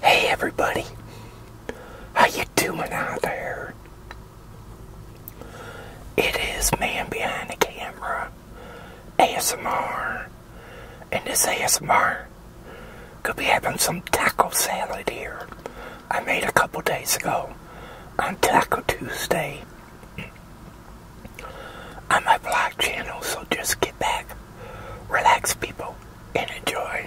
Hey everybody, how you doing out there? It is Man Behind the Camera, ASMR, and this ASMR could be having some taco salad here. I made a couple days ago on Taco Tuesday on my vlog channel, so just get back Relax, people, and enjoy.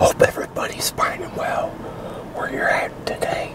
Hope everybody's fine and well where you're at today.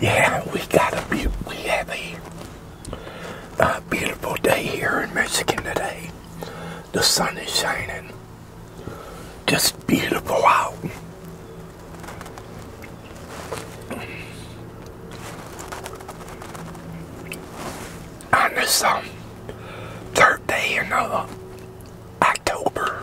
Yeah, we got a have a beautiful day here in Michigan today. The sun is shining. Just beautiful out. On um, third day in uh, October.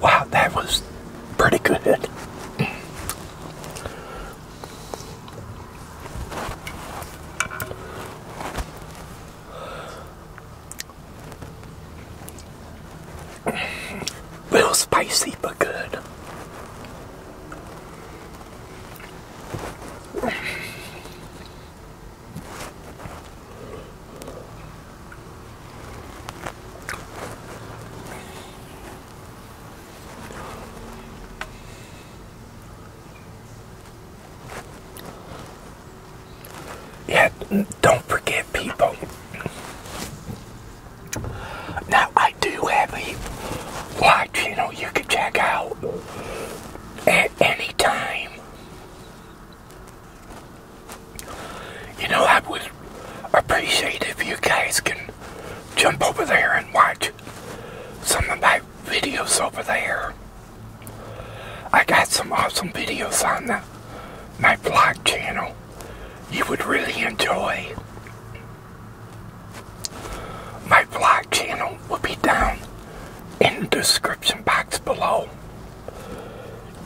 Wow, that was pretty good. Real spicy, but good. Yeah, don't forget people. Now, I do have a live channel you can check out at any time. You know, I would appreciate if you guys can jump over there and watch some of my videos over there. I got some awesome videos on that my blog channel you would really enjoy. My vlog channel will be down in the description box below.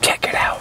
Check it out.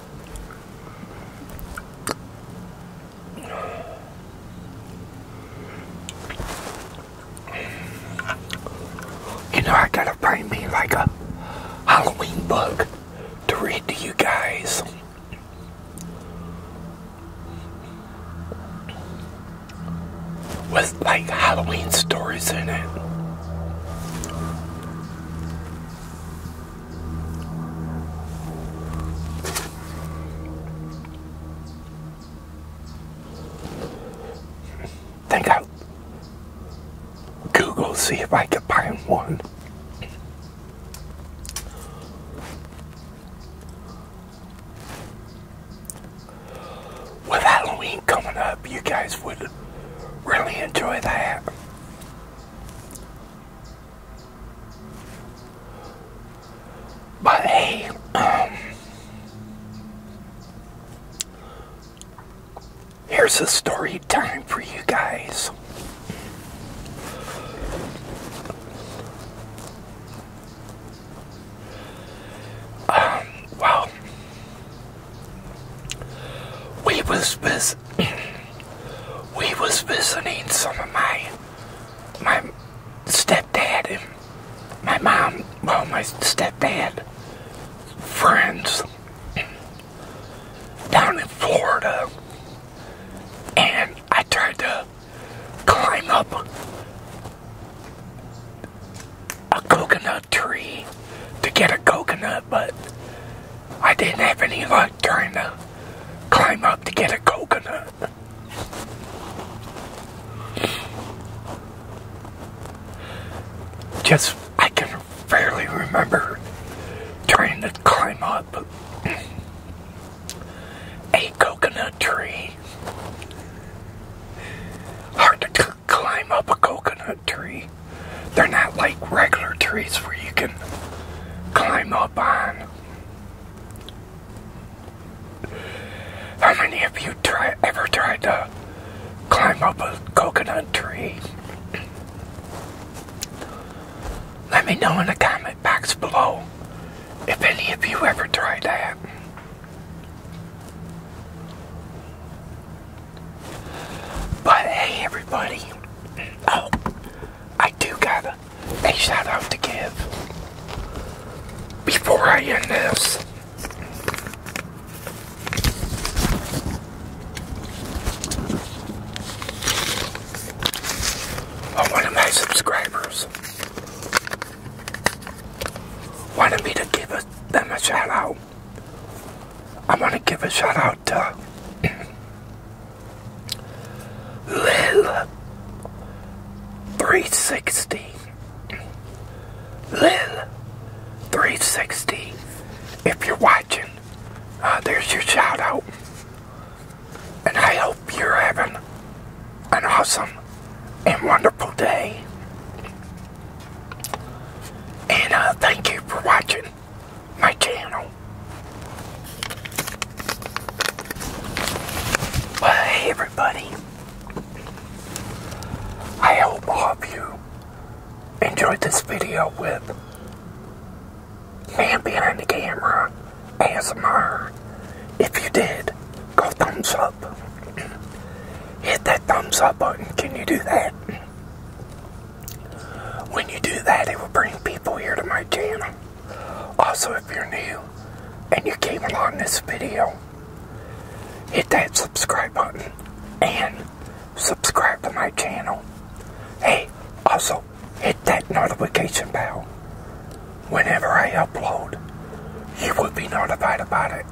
You know, I gotta find me like a Halloween book to read to you guys. With like Halloween stories in it. Think I'll Google, see if I can find one. With Halloween coming up, you guys would really enjoy that. But hey, um, here's a story time for you guys. Um, we was with we was visiting some of my my stepdad and my mom well my stepdad friends down in Florida and I tried to climb up a coconut tree to get a coconut, but I didn't have any luck trying to climb up to get a coconut. Just, I can barely remember trying to climb up a coconut tree. Hard climb up a coconut tree. They're not like regular trees where you can climb up on. How many of you try ever tried to climb up a coconut tree? Let me know in the comment box below if any of you ever tried that. But hey, everybody. Oh, I do got to a shout out to give before I end this. Oh, one of my subscribers wanted me to give a, them a shout out. I want to give a shout out to Lil 360. Lil 360. If you're watching, uh, there's your shout out. And I hope you're having an awesome and wonderful day. And uh, thank you for watching my channel. hey everybody. I hope all of you enjoyed this video with Man Behind the Camera ASMR. If you did, go thumbs up. Hit that thumbs up button. Can you do that? When you do that, it will bring people here to my channel. Also, if you're new and you came along this video, hit that subscribe button and subscribe to my channel. Hey, also hit that notification bell. Whenever I upload, you will be notified about it.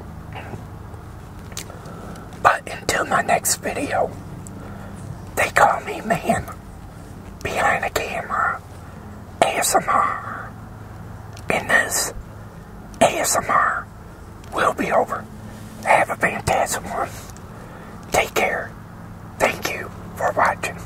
But until my next video, they call me man behind the camera ASMR. And this ASMR will be over. Have a fantastic one. Take care. Thank you for watching.